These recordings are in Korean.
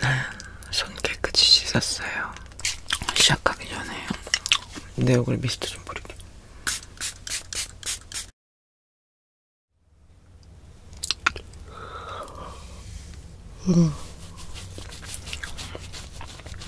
네, 손 깨끗이 씻었어요. 시작하기 전에 내 얼굴에 미스트 좀 뿌릴게. 음.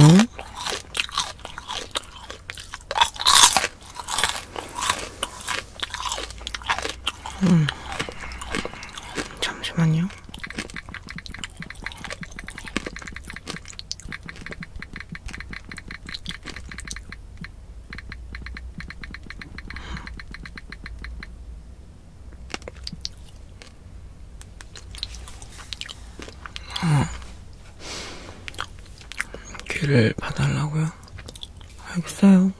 응? 음. 잠시만요. 어. 귀를 봐달라고요? 알겠어요.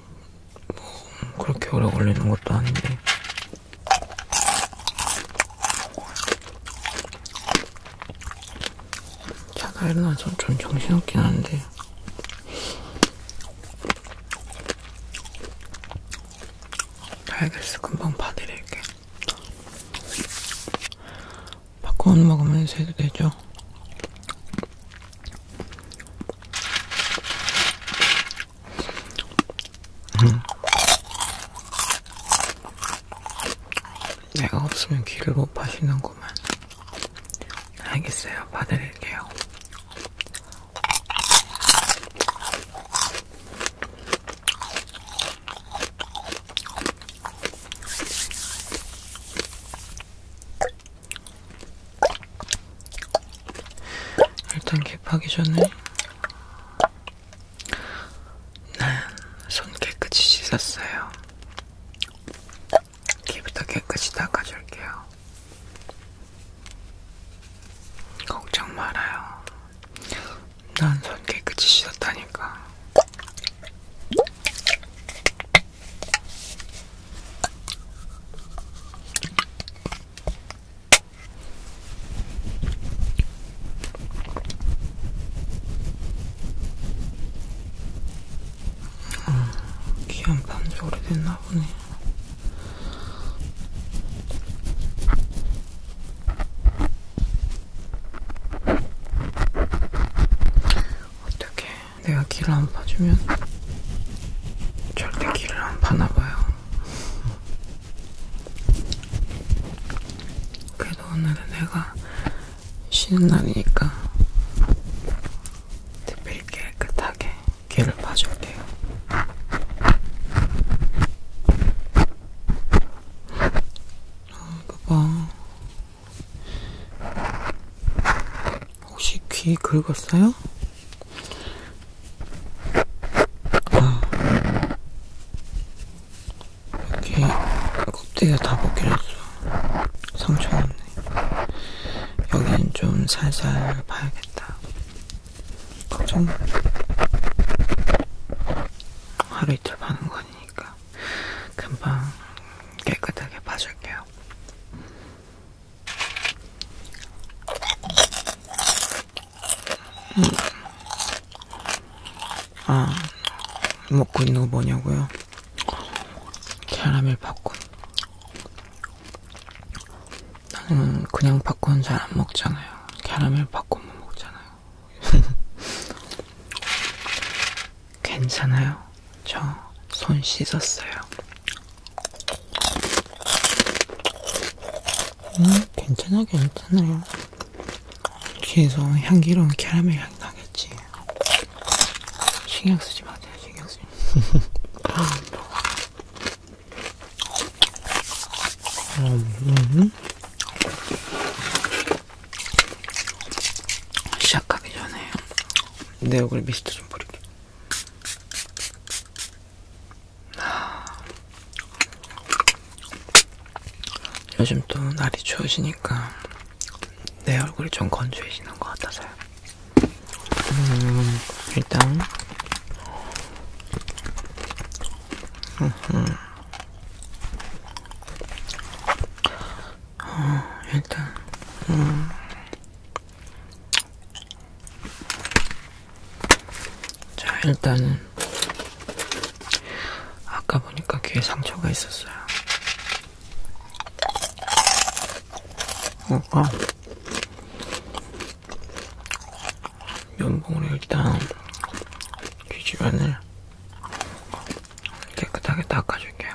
뭐 그렇게 오래 걸리는 것도 아닌데. 자다 일어나서 좀 정신없긴 한데. 알겠어, 금방 봐드릴게. 팝콘 먹으면서 해도 되죠? 응. 내가 없으면 귀를 못 파시는구만. 알겠어요. 봐드릴게요. 일단 캡하기 전에 난 손 깨끗이 씻었어요. 귀부터 깨끗이 닦아줄게요. 걱정 말아요. 난 손 깨끗이 씻었다니까. 어, 귀한 반지 오래됐나 보네. 어떻게 내가 길을 안 봐주면 절대 길을 안 파나봐요. 그래도 오늘은 내가 쉬는 날이니까 특별히 깨끗하게 길을 파줄게요. 아, 어, 그거 봐. 혹시 귀 긁었어요? 아. 여기 껍데기가 다 벗겨졌어. 상처 없네. 여긴 좀 살살 봐야겠다. 걱정 마. 하루 이틀 봐는 거니까 금방 깨끗하게 봐줄게요. 음. 아, 먹고 있는 거 뭐냐고요? 캐러멜 팝콘. 나는 그냥 팝콘 잘안 먹잖아요. 캐러멜 팝콘만 먹잖아요. 괜찮아요. 저 손 씻었어요. 음, 괜찮아, 괜찮아요. 뒤에서 향기로운 캐러멜 향이 나겠지. 신경 쓰지 마세요, 신경 쓰지 마세요. 음. 음, 시작하기 전에 내 얼굴에 미스트 좀 뿌릴게요. 요즘 또 날이 추워지니까 내 얼굴이 좀 건조해지는 것 같아서요. 음, 일단 어, 일단 음, 자, 일단은 아까 보니까 귀에 상처가 있었어요. 어, 아. 어. 면봉으로 일단 귀 주변을 깨끗하게 닦아줄게요.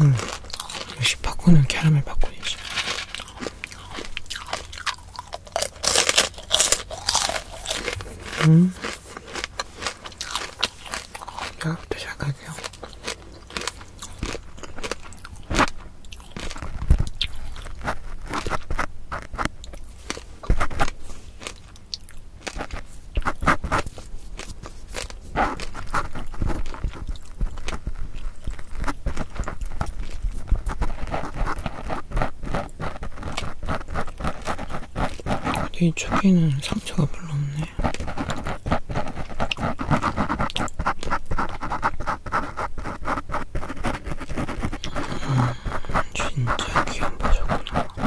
음, 역시 팝콘은 캐러멜 팝콘이지. 음. 여기부터 시작할게요. 이 초기는 상처가 별로 없네. 음, 진짜 귀한 보셨구나.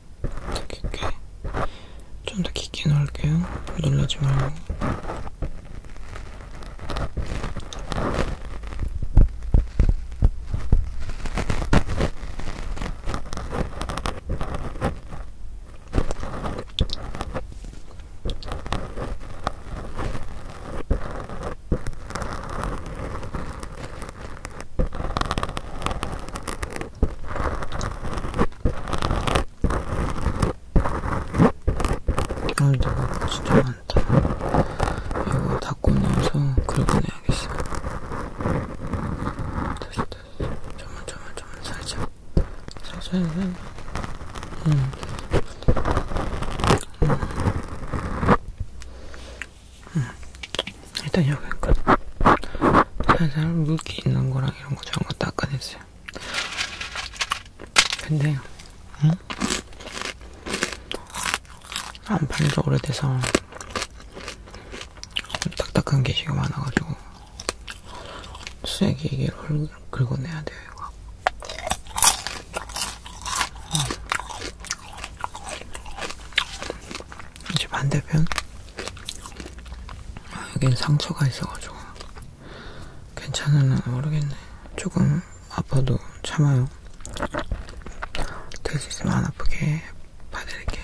더 깊게 좀더 깊게 넣을게요. 눌러지 말고. 오늘도 진짜 많다. 이거 닦고 나서 긁어내야겠어. 다시 다시. 좀만 좀만 좀만 살짝. 살짝 살짝. 응. 음. 음. 일단 여기 거 그 살살 물기 있는 거랑 이런 거 저런 거 닦아냈어요. 근데 응? 안 팔린 지 오래돼서 딱딱한 게시가 많아가지고 쓰레기 이게 긁어내야 돼요. 이거. 이제 반대편 아, 여긴 상처가 있어가지고 괜찮으나 모르겠네. 조금 아파도 참아요. 될 수 있으면 안 아프게 봐드릴게.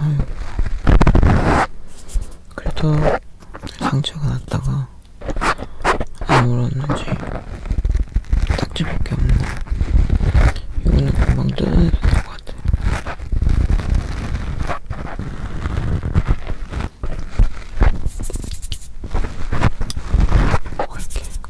아유. 음. 그래도 상처가 났다가 아무렇는지 딱지밖에 없네. 이거는 금방 뜯어내도 될것 같아. 이렇게 뭐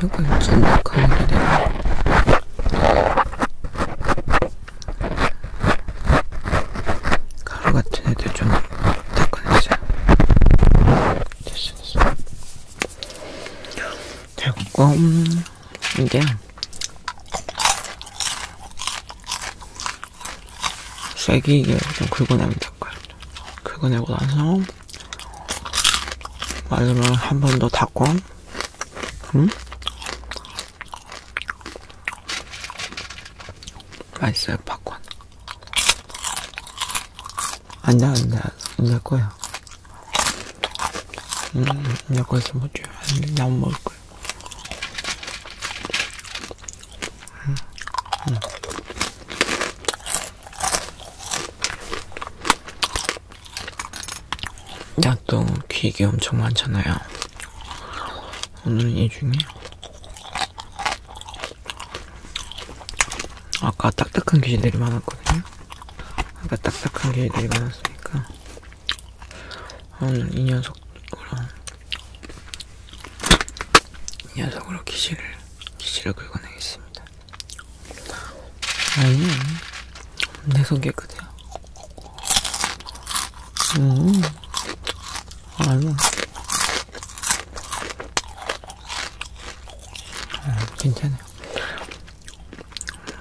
혀가 쫀득하는 길이 가루 같은 애들 좀 닦아내자. 됐어, 됐어. 됐고, 음, 이게 세게 이게 좀 긁어냅니다. 긁어내고 나서 마지막 한 번 더 닦고, 음? 맛있어요, 팝콘. 안 돼, 안 돼, 안될 거야. 음, 내거 있으면 못 줘요. 나못 먹을 거야. 음. 음. 야또 기계 엄청 많잖아요. 오늘은 이 중에 아까 딱딱한 기계들이 많았거든요. 아까 딱딱한 기계들이 많았으니까 오늘 이 녀석으로 이 녀석으로 기실을 기실을 긁어내겠습니다. 아니 내손 깨끗해요. 음 아니 아, 괜찮아요.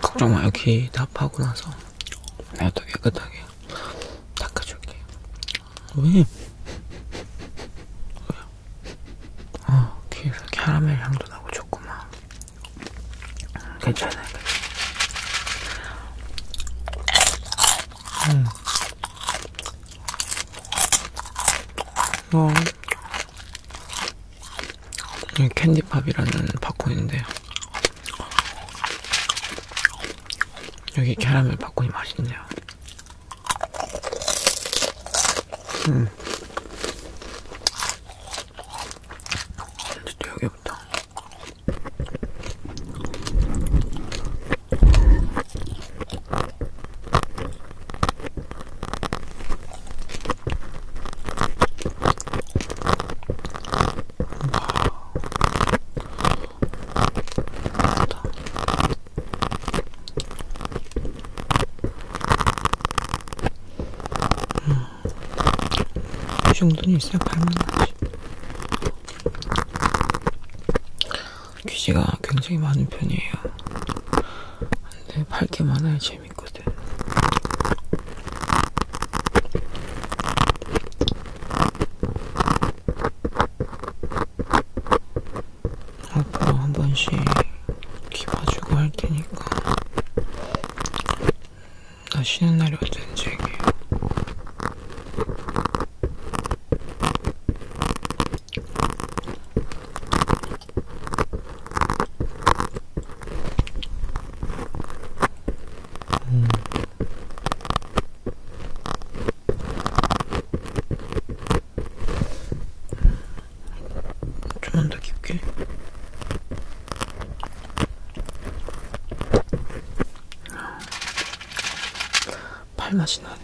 걱정 마 여기 다 파고 나서 내가 더 깨끗하게 닦아줄게요. 닦아줄게요. 왜? 왜요? 아, 귀에서 캐러멜 향도 나고 좋구만. 괜찮아요. 음. 어. 캔디팝이라는 바코인데요. 여기 캐러멜 팝콘이 맛있네요. 음. 또 여기부터. 음, 이 정도는 있어야 발만하지. 귀지가 굉장히 많은 편이에요. 근데 밝게 많아야 재밌거든. 앞으로 한 번씩 귀 봐주고 할 테니까 나 쉬는 날이 언제인지 얘기해요. 음. 좀만 더 깊게. 팔맛이 나네.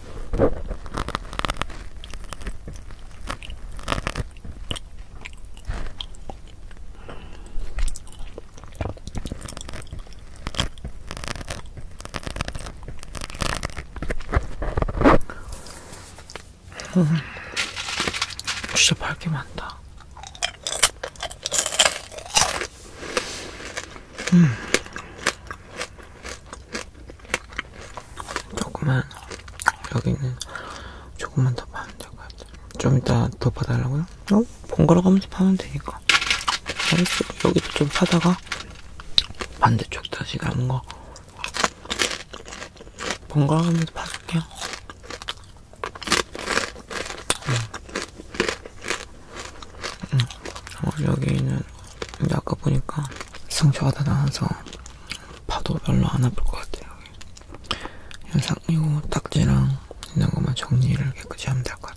음, 진짜 밝게 많다. 음. 조금만 여기는 조금만 더 파면 될 것 같아요. 좀 이따 더 파달라고요? 어? 번갈아 가면서 파면 되니까. 알겠어. 여기도 좀 파다가 반대쪽 다시 남은 거 번갈아 가면서 파줄게요. 음. 응. 음. 어, 여기는 근데 아까 보니까 상처가 다 나서 파도 별로 안 아플 것 같아요. 현상 이거 딱지랑 있는 것만 정리를 깨끗이 하면 될 것 같아요.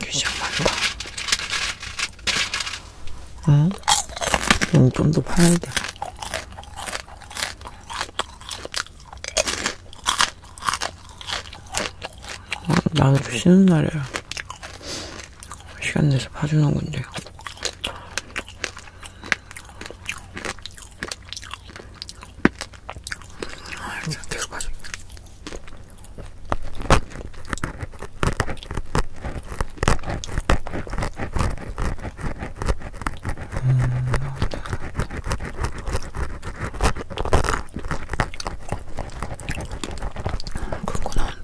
귀신 맞다. 응? 응, 좀더 팔아야 돼. 아, 나는 좀 쉬는 날이라. 시간 내서 봐주는 건데. 아, 계속 봐줘. 그거 나온다.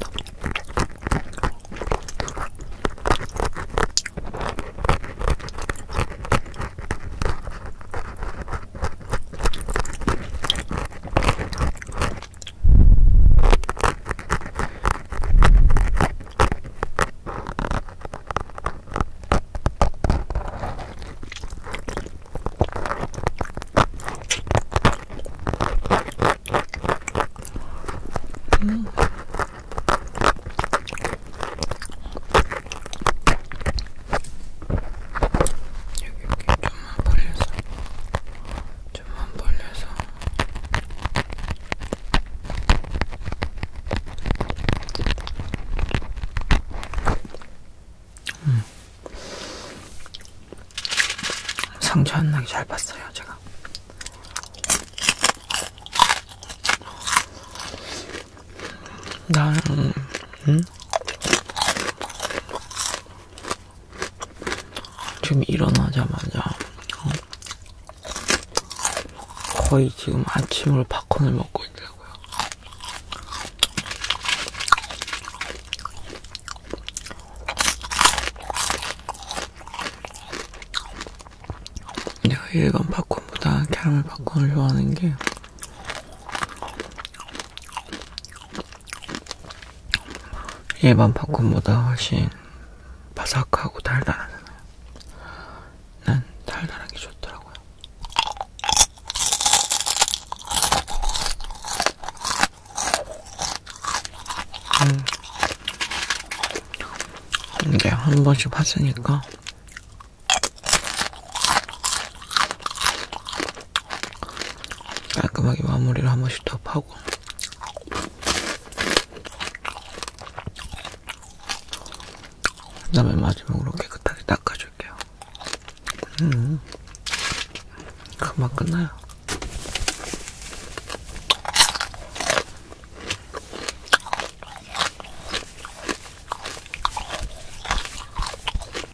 음. 여기 이렇게 좀만 버려서 좀안 벌려서 음. 상처 안 나게 잘 봤어요, 제가. 나는, 음? 음? 지금 일어나자마자 어, 거의 지금 아침으로 팝콘을 먹고 있더라고요. 내가 일반 팝콘보다 캐러멜 팝콘을 좋아하는 게 일반 팝콘보다 훨씬 바삭하고 달달하잖아요. 난 달달한 게 좋더라고요. 음. 이게 한 번씩 봤으니까 깔끔하게 마무리를 한 번씩 더 파고 그 다음에 마지막으로 깨끗하게 닦아줄게요. 음, 금방 끝나요.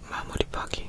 마무리 파기.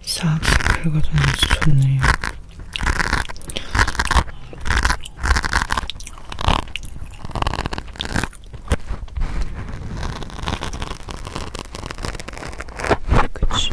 싹싹 긁어주는 맛이 좋네요. 그치.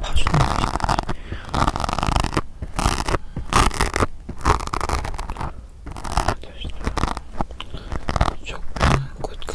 파주는 맛있다. 쪽파 굿굿.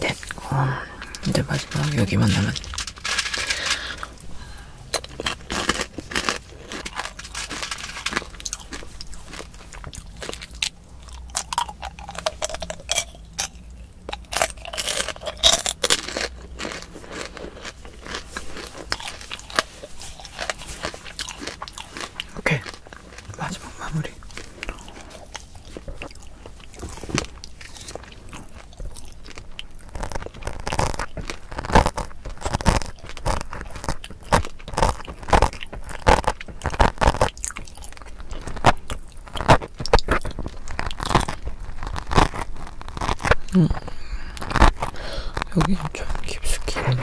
됐고 네, 이제 마지막 여기만 남았. 오케이 마지막 마무리 음. 여긴 좀 깊숙이 있네.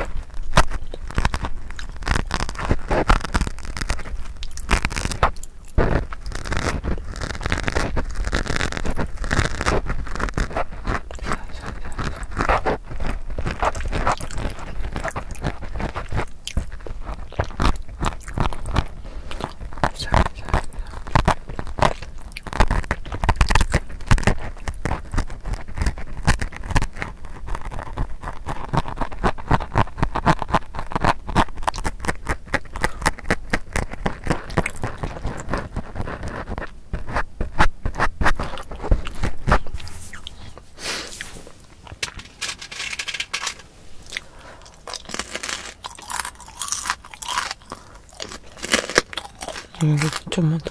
자, 자, 자. 이거 좀만 더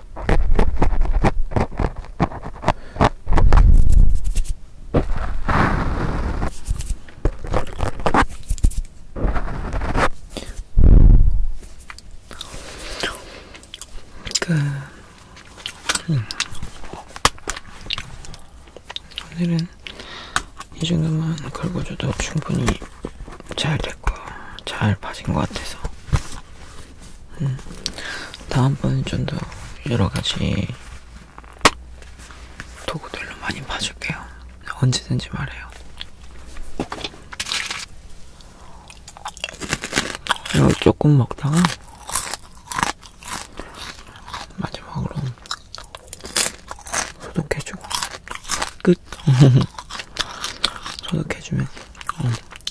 그 음. 오늘은 이 정도만 걸고줘도 충분히 잘 됐고 잘 봐진 것 같아서 음, 다음번엔 좀 더 여러가지 도구들로 많이 봐줄게요. 언제든지 말해요. 이거 조금 먹다가 마지막으로 소독해주고 끝! 소독해주면 어,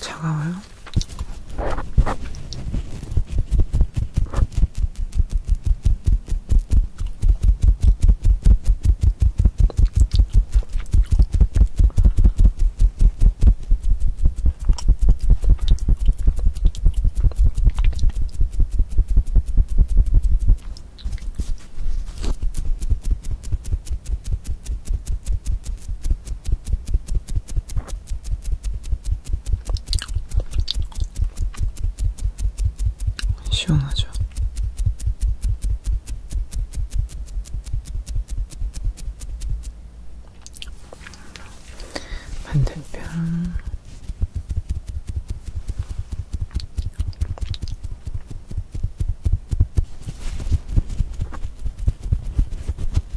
차가워요? 시원하죠? 반대편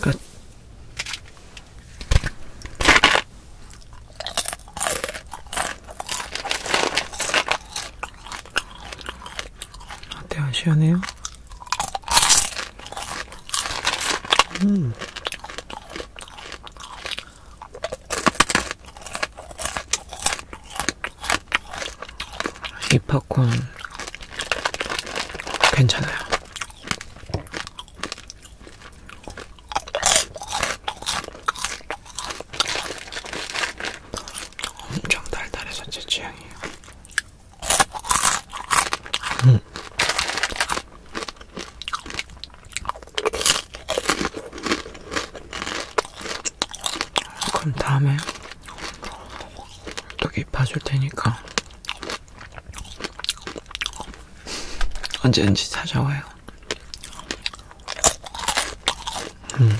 끝. 어때요? 아, 네, 시원해요? 음. 이 팝콘 괜찮아요. 엄청 달달해서 제 취향이에요. 음. 그럼 다음에 여기 봐줄 테니까 언제든지 찾아와요. 음.